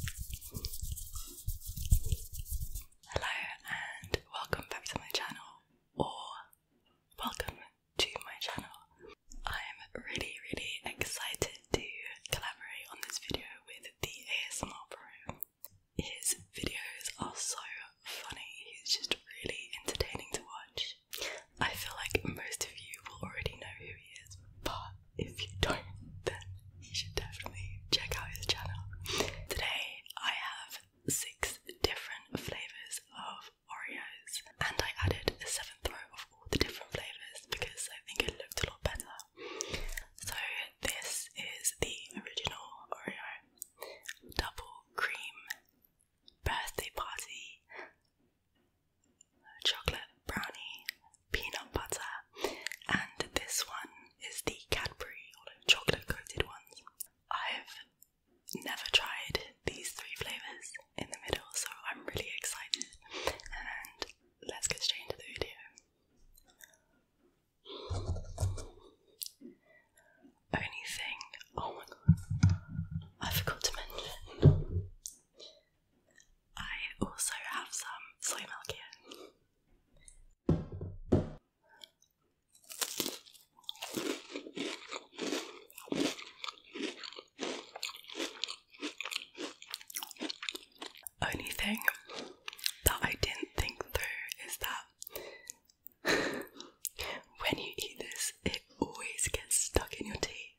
Hello and welcome back to my channel, or welcome to my channel. I'm really, really excited to collaborate on this video with the ASMR bro. His videos are so funny, he's just really entertaining to watch. I feel like most of you will already know who he is, but if you don't, then you should definitely check out his channel. Today, I have six different flavors of Oreos, and I added a seventh row of all the different flavors because I think it looked a lot better. So, this is the original Oreo double cream birthday party chocolate brownie peanut butter, and this one is the Cadbury chocolate coated ones. I've never tried these three flavours in the middle, so I'm really excited. And let's get straight into the video. Only thing, oh my god, I forgot to mention. I also have some soy milk here. Only thing that I didn't think through is that when you eat this, it always gets stuck in your teeth.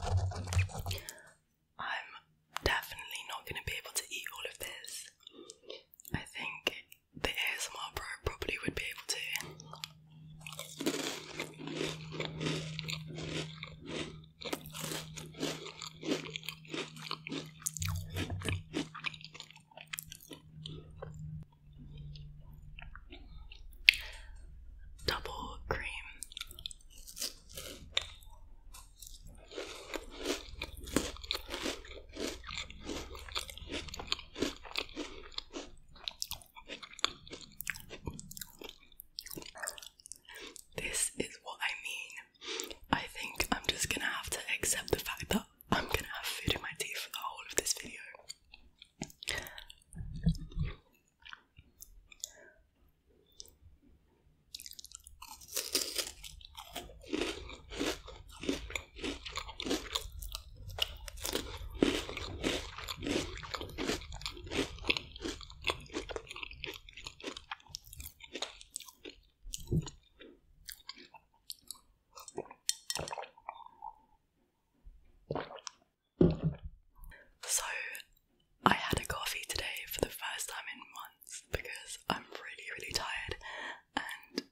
I'm definitely not going to be able to eat all of this. I think the ASMR pro probably would be able to. Double cream. This is what I mean. I think I'm just gonna have to accept the fact that I'm gonna have food in my teeth for the whole of this video. So, I had a coffee today for the first time in months because I'm really, really tired and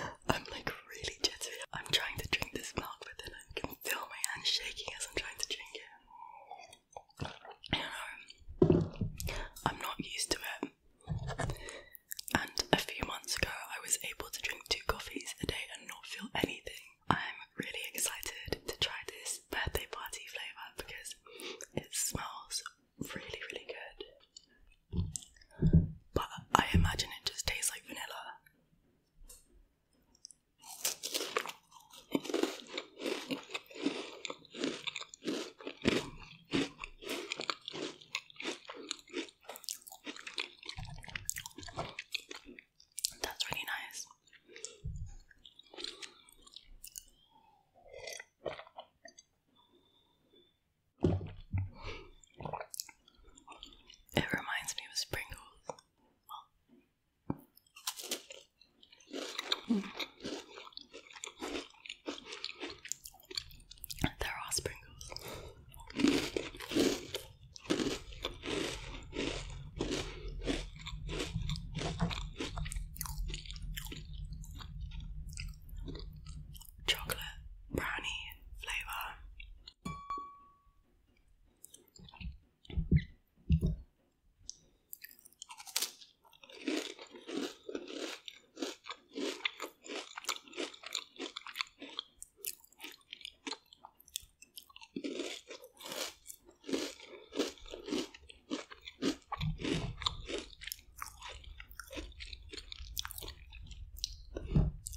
I'm like really jittery. I'm trying to drink this milk within I can feel my hand shaking as I'm trying to drink it. You know, I'm not used to it. And a few months ago, I was able to drink two coffees a day and not feel anything. I'm really excited to try this birthday party flavour because it smells really, really good. But I imagine it just tastes like vanilla. That's really nice. It reminds me of sprinkles. There are sprinkles. Chocolate brownie flavour.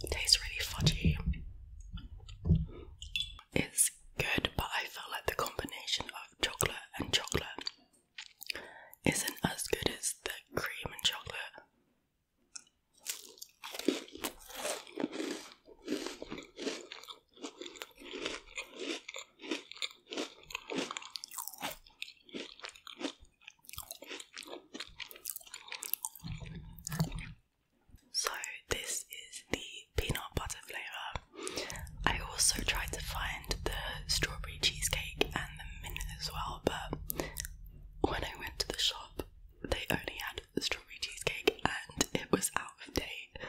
It tastes really fudgy is good, but I feel like the combination of chocolate and chocolate isn't as good as the cream and chocolate. So this is the peanut butter flavour. I also tried to find the strawberry cheesecake and the mint as well, but when I went to the shop they only had the strawberry cheesecake and it was out of date,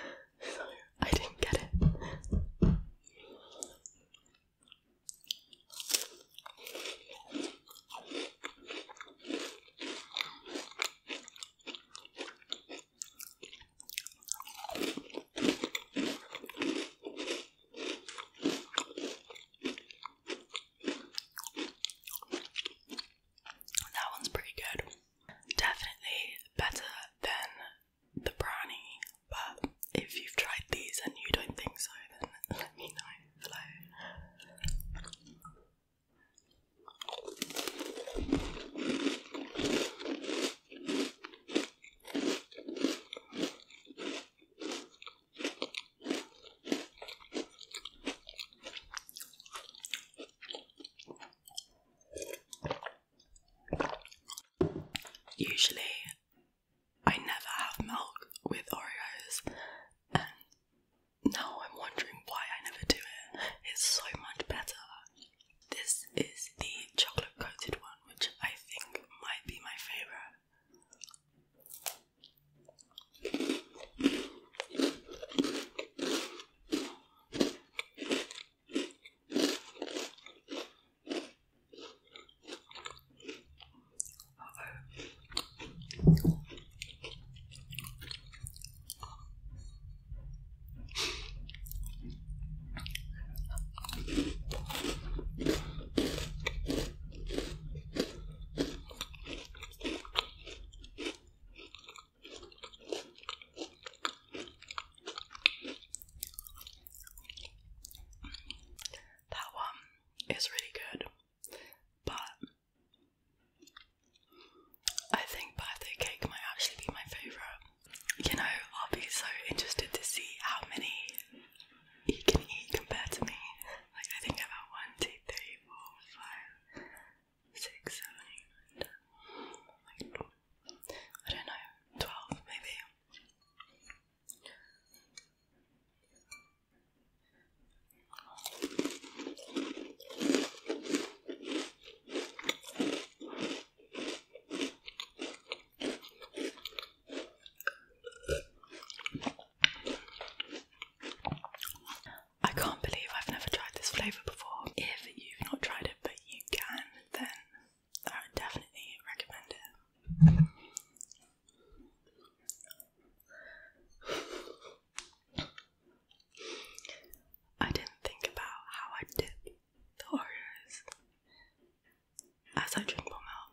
so I didn't get it. That one's pretty good. Definitely better than the brownie, but if you've tried these and you don't think so, then let me know below. Usually, I never have milk with Oreos, now I'm wondering why I never do it. It's so much better. This is the chocolate coated one, which I think might be my favourite. That one is really good, but I think birthday cake might actually be my favourite. You know, I'll be so interested to see how many you can eat compared to me. Like, I think about 1, 2, 3, 4, 5, 6, 7, 8, 9, 10. I don't know, 12 maybe. I can't believe I've never tried this flavour before. If you've not tried it but you can, then I would definitely recommend it. I didn't think about how I dip the Oreos as I drink more milk.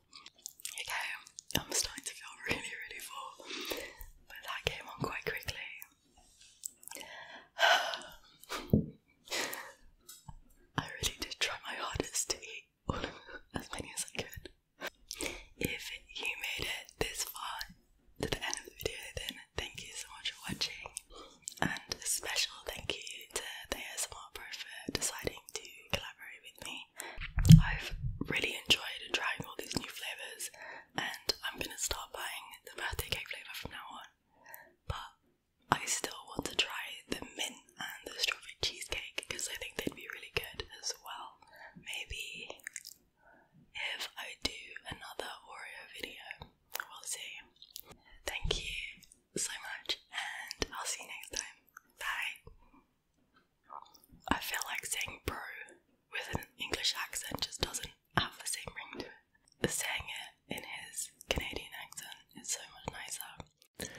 Okay, I'm starting to feel really, really full, but that came on quite quickly. I really did try my hardest to eat as many as I could. If you made it this far to the end of the video, then thank you so much for watching, and a special thank you to the ASMR Pro for deciding to collaborate with. I've really enjoyed trying all these new flavours and I'm gonna start buying the birthday cake flavour from now on. But I still want to try the mint and the strawberry cheesecake because I think they'd be really good as well. Maybe if I do another Oreo video, we'll see. Thank you so much, and I'll see you next time. Bye. I feel like saying bro with an English accent just doesn't have the same ring to it. Saying it in his Canadian accent is so much nicer.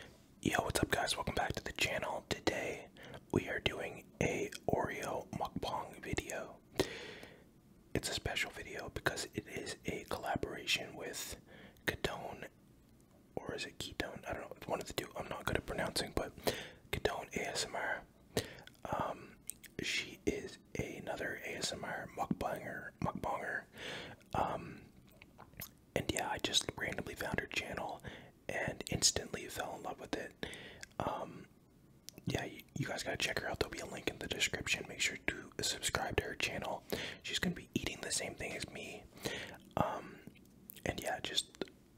Yo, what's up guys? Welcome back to the channel. Today we are doing a Oreo mukbang video. It's a special video because it is a collaboration with Katone or is it ketone? I don't know. One of the two. I'm not good at pronouncing, but ketone ASMR. Um, she is another ASMR mukbanger, mukbanger. Um, and yeah, I just randomly found her channel and instantly fell in love with it. Um, yeah, you, guys gotta check her out. There'll be a link in the description. Make sure to subscribe to her channel. She's gonna be eating the same thing as me. Um, and yeah, just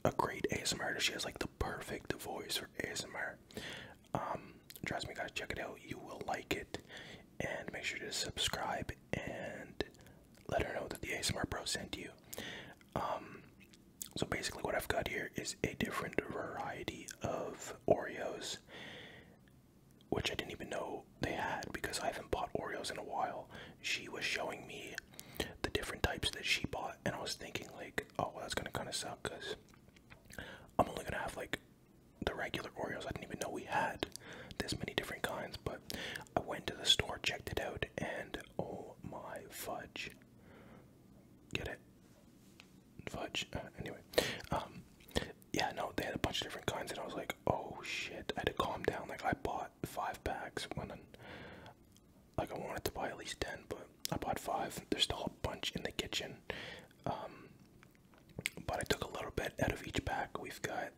a great ASMR. She has like the perfect voice for ASMR. Um, trust me, guys, check it out. You will like it, and make sure to subscribe and let her know that the ASMR Pro sent you. Um, so basically, what I've got here is a different variety of Oreos, which I didn't even know they had because I haven't bought Oreos in a while. She was showing me the different types that she bought, and I was thinking like, oh, that's gonna kind of suck because I'm only gonna have like the regular Oreos. I didn't even know we had this many different kinds. But I went to the store, checked it out, and oh my fudge! Get it? Fudge. Uh, anyway, um, yeah, no, they had a bunch of different kinds, and I was like, oh shit! I had to calm down. Like I bought five packs when I, like I wanted to buy at least ten, but I bought five. There's still a bunch in the kitchen, um, but I took a little bit out of each pack. We've got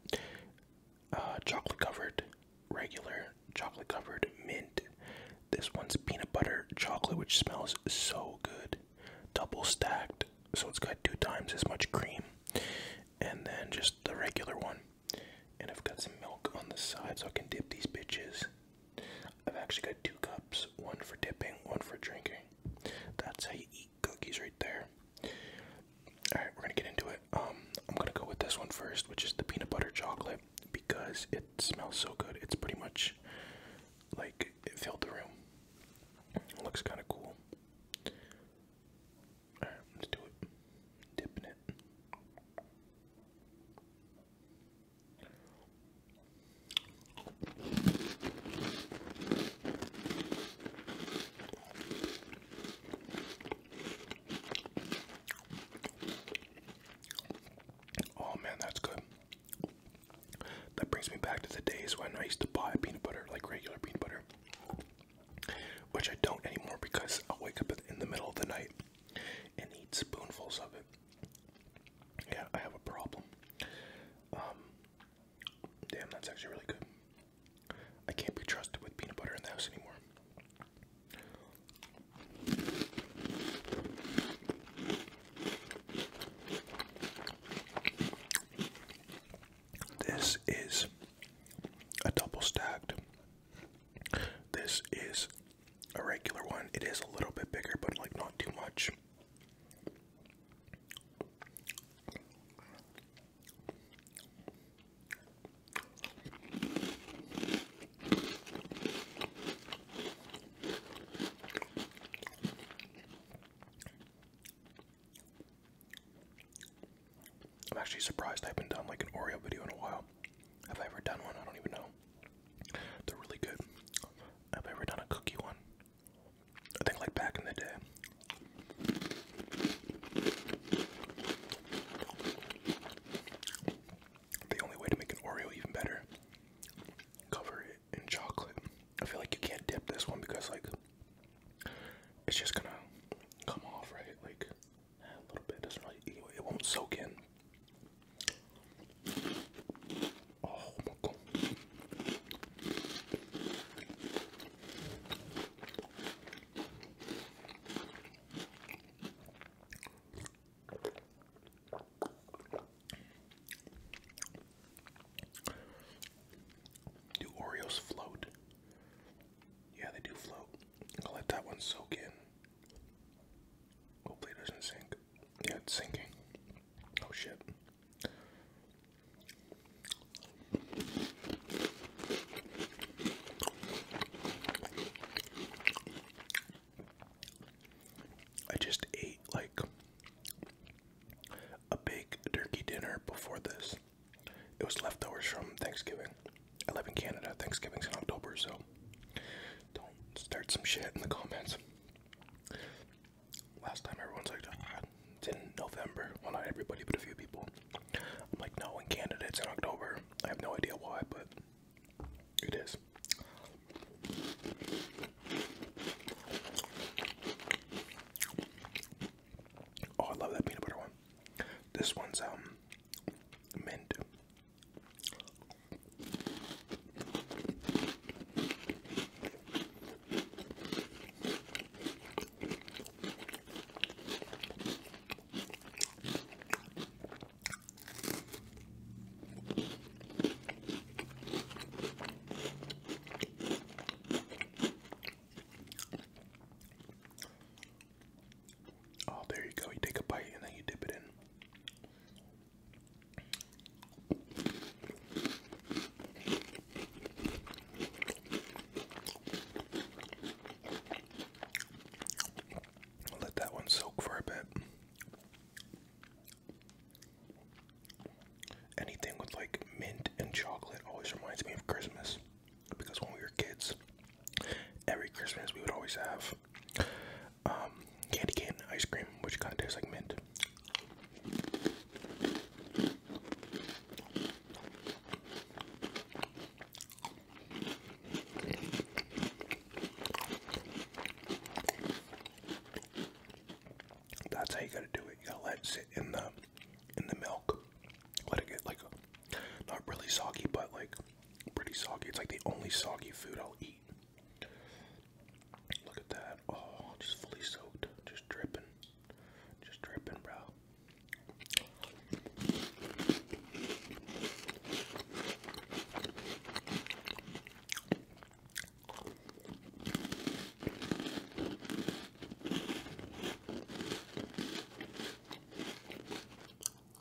uh, chocolate covered, regular chocolate covered mint. This one's peanut butter chocolate, which smells so good. Double stacked, so it's got two times as much cream, and then just the regular one. And I've got some milk on the side so I can dip these bitches. I've actually got two cups, one for dipping, one for drinking. That's how you eat cookies right there. Alright, we're gonna get into it. Um, I'm gonna go with this one first, which is the peanut butter chocolate, because it smells so good. It's pretty much like it filled the room. looks kinda cool. Alright, let's do it. Dipping it. Oh man, that's good. That brings me back to the days when I used to buy peanut butter, like regular peanut butter which I don't anymore because i wake up in the middle of the night and eat spoonfuls of it. Yeah, I have a problem. Um, damn, that's actually really good. I can't be trusted with peanut butter in the house anymore. This is a double stacked this is a regular one. It is a little bit bigger, but like not too much. I'm actually surprised I haven't done like an Oreo video in a while. Have I ever done one? I don't even know. They're really good. Have I ever done a cookie one? I think like back in the day. The only way to make an Oreo even better, cover it in chocolate. I feel like you can't dip this one because like it's just gonna come off, right? Like a little bit. Doesn't really, it won't soak in. Oh my god. Do Oreos float? Yeah, they do float. I'll let that one soak in. Hopefully it doesn't sink. Yeah, it's sinking. Oh shit. I just ate like a big turkey dinner before this. It was leftovers from Thanksgiving. I live in Canada. Thanksgiving's in October, so don't start some shit in the comments. Last time everyone's like, ah, in November. Well, not everybody, but a few people. I'm like, no, in Canada it's in October. I have no idea why, but it is. Oh, I love that peanut butter one. This one's um mint. Oh, there you go. You take a bite and then you dip it in. let that one soak for a bit. Anything with like mint and chocolate always reminds me of Christmas because when we were kids, every Christmas we would always have um, candy cane ice cream, which kind of tastes like mint. That's how you gotta do it. You gotta let it sit in the in the milk. Let it get like not really soggy, but like pretty soggy. It's like the only soggy food I'll eat. Look at that. Oh, just fully soaked. Just dripping. Just dripping, bro.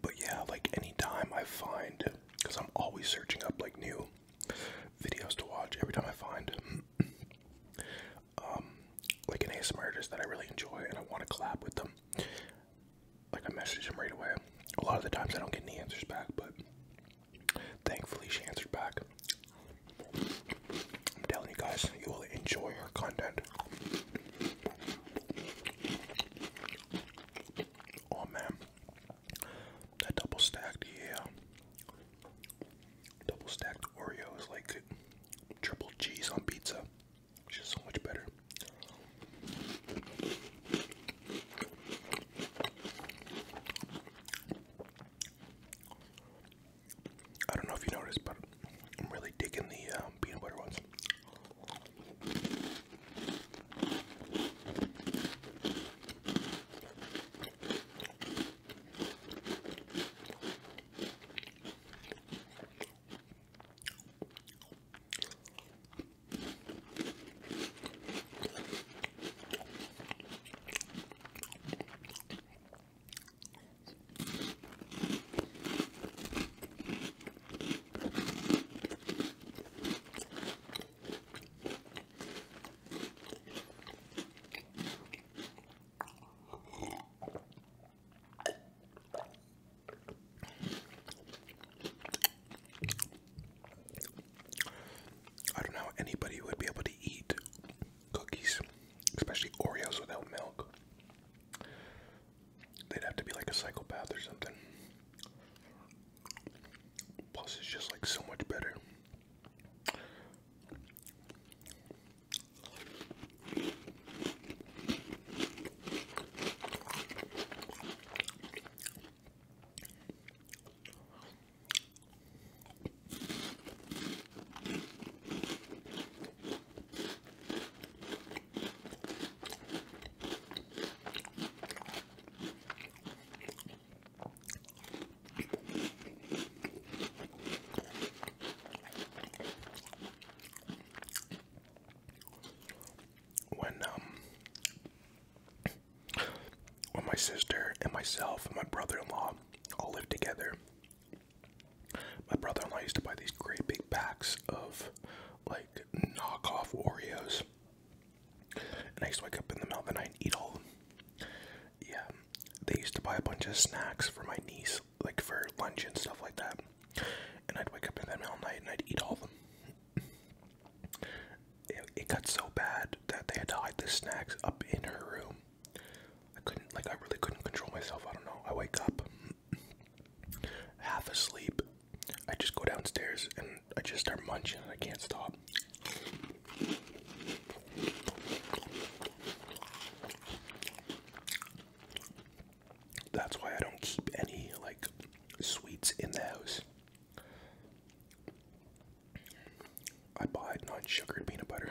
But yeah, like any time I find, because I'm always searching up like new videos to watch, every time I find um, like an ASMR artist that I really enjoy and I want to collab with them, like I message them right away. A lot of the times I don't get any answers back, but thankfully she answered back. I'm telling you guys, you will enjoy our content. Oh man, that double stacked, yeah. Double stacked Oreo like triple cheese on pizza, which is so much better. I don't know if you noticed, but I'm really digging the um, peanut butter ones. I don't know how anybody would be able to eat cookies, especially Oreos without milk. They'd have to be like a psychopath or something. Plus, it's just like so much better. When um, when my sister and myself and my brother-in-law all lived together, my brother-in-law used to buy these great big packs of like knockoff Oreos, and I used to wake up in the middle of the night and eat all of them. Yeah, they used to buy a bunch of snacks for my niece, like for lunch and stuff like that. And I'd wake up in the middle of the night and I'd eat all of them. it got so bad that they had to hide the snacks up in her room I couldn't, like, I really couldn't control myself. I don't know. I wake up half asleep. I just go downstairs and I just start munching and I can't stop. That's why I don't keep any, like, sweets in the house. I buy non sugared peanut butter.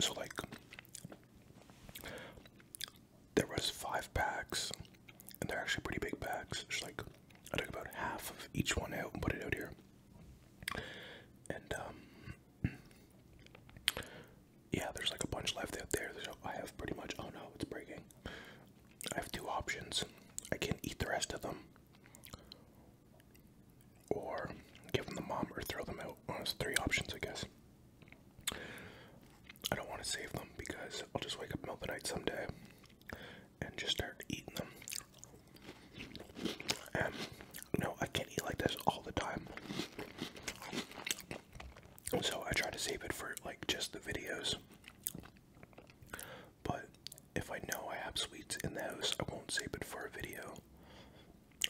So like there was five packs and they're actually pretty big packs. Just like I took about half of each one out and put it out here. And um yeah, there's like a bunch left out there. So I have pretty much oh no, it's breaking. I have two options. I can eat the rest of them or give them the mom or throw them out. Well, those three options, I guess. I don't want to save them because I'll just wake up middle of the night someday and just start eating them. And no, I can't eat like this all the time. So I try to save it for like just the videos. But if I know I have sweets in the house, I won't save it for a video.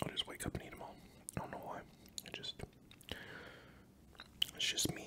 I'll just wake up and eat them all. I don't know why. I just. It's just me.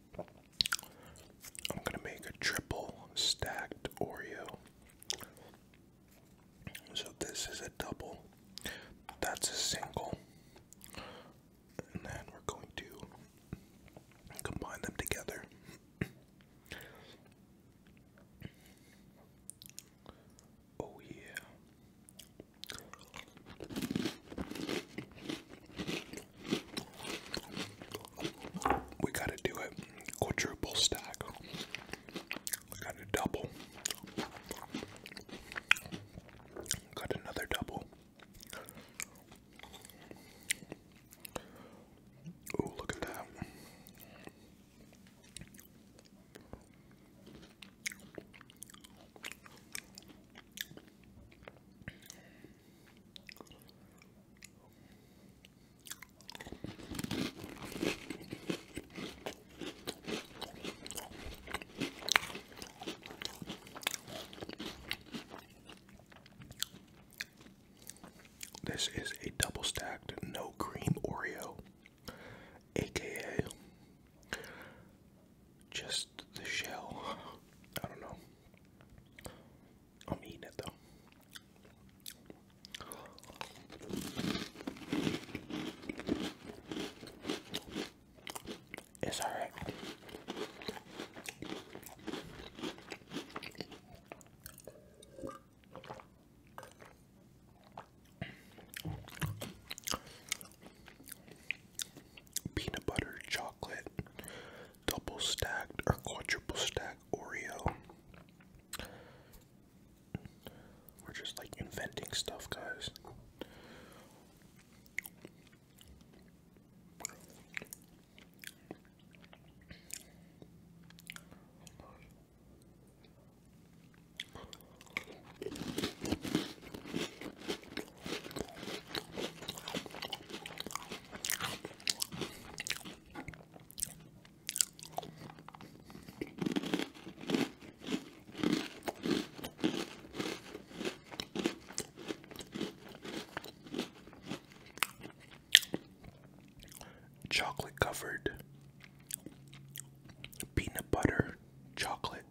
I'm going to make a triple stacked Oreo. So this is a double, that's a single, and then we're going to combine them together. Oh, yeah. We gotta do it quadruple stack. got a double. Got another double. Oh, look at that. This is a double stacked no cream Oreo, aka just the shell. I don't know i mean it though. It's alright. Peanut butter chocolate double stacked or quadruple stacked Oreo. We're just like inventing stuff, guys. Chocolate covered peanut butter chocolate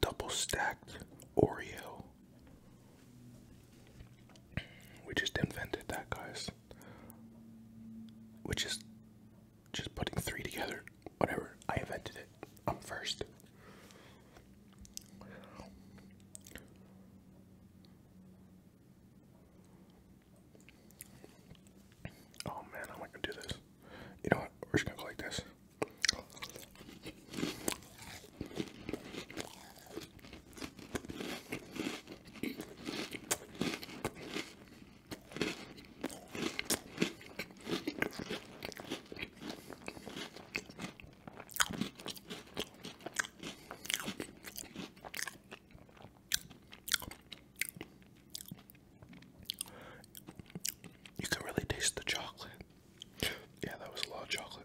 double stacked Oreo. We just invented that, guys. Which is just putting three together. Whatever. I invented it. I'm first. Oh man, I'm not gonna do this. You know what? We're just gonna go like this. You can really taste the chocolate. Yeah, that was a lot of chocolate.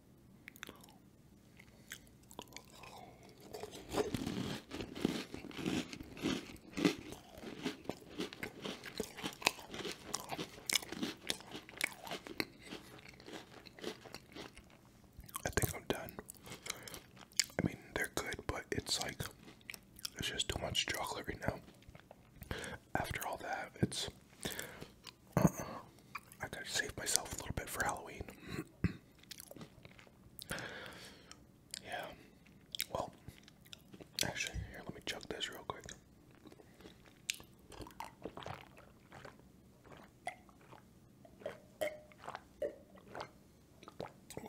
I think I'm done. I mean, they're good, but it's like there's just too much chocolate right now. After all that, it's uh -uh. I gotta save myself a little bit for Halloween. Yeah. Well, actually, here, let me chuck this real quick.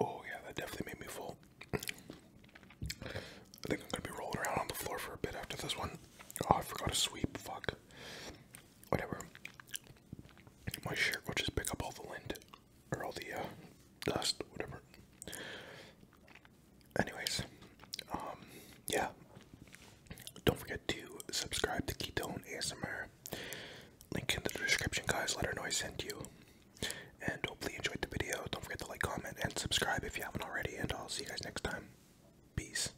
Oh, yeah, that definitely made me full. I think I'm gonna be rolling around on the floor for a bit after this one. Oh, I forgot to sweep. Fuck. Whatever my shirt will just pick up all the lint or all the uh, dust, whatever. Anyways, um, yeah. Don't forget to subscribe to Ketone ASMR. Link in the description, guys. Let her know I sent you. And hopefully you enjoyed the video. Don't forget to like, comment, and subscribe if you haven't already. And I'll see you guys next time. Peace.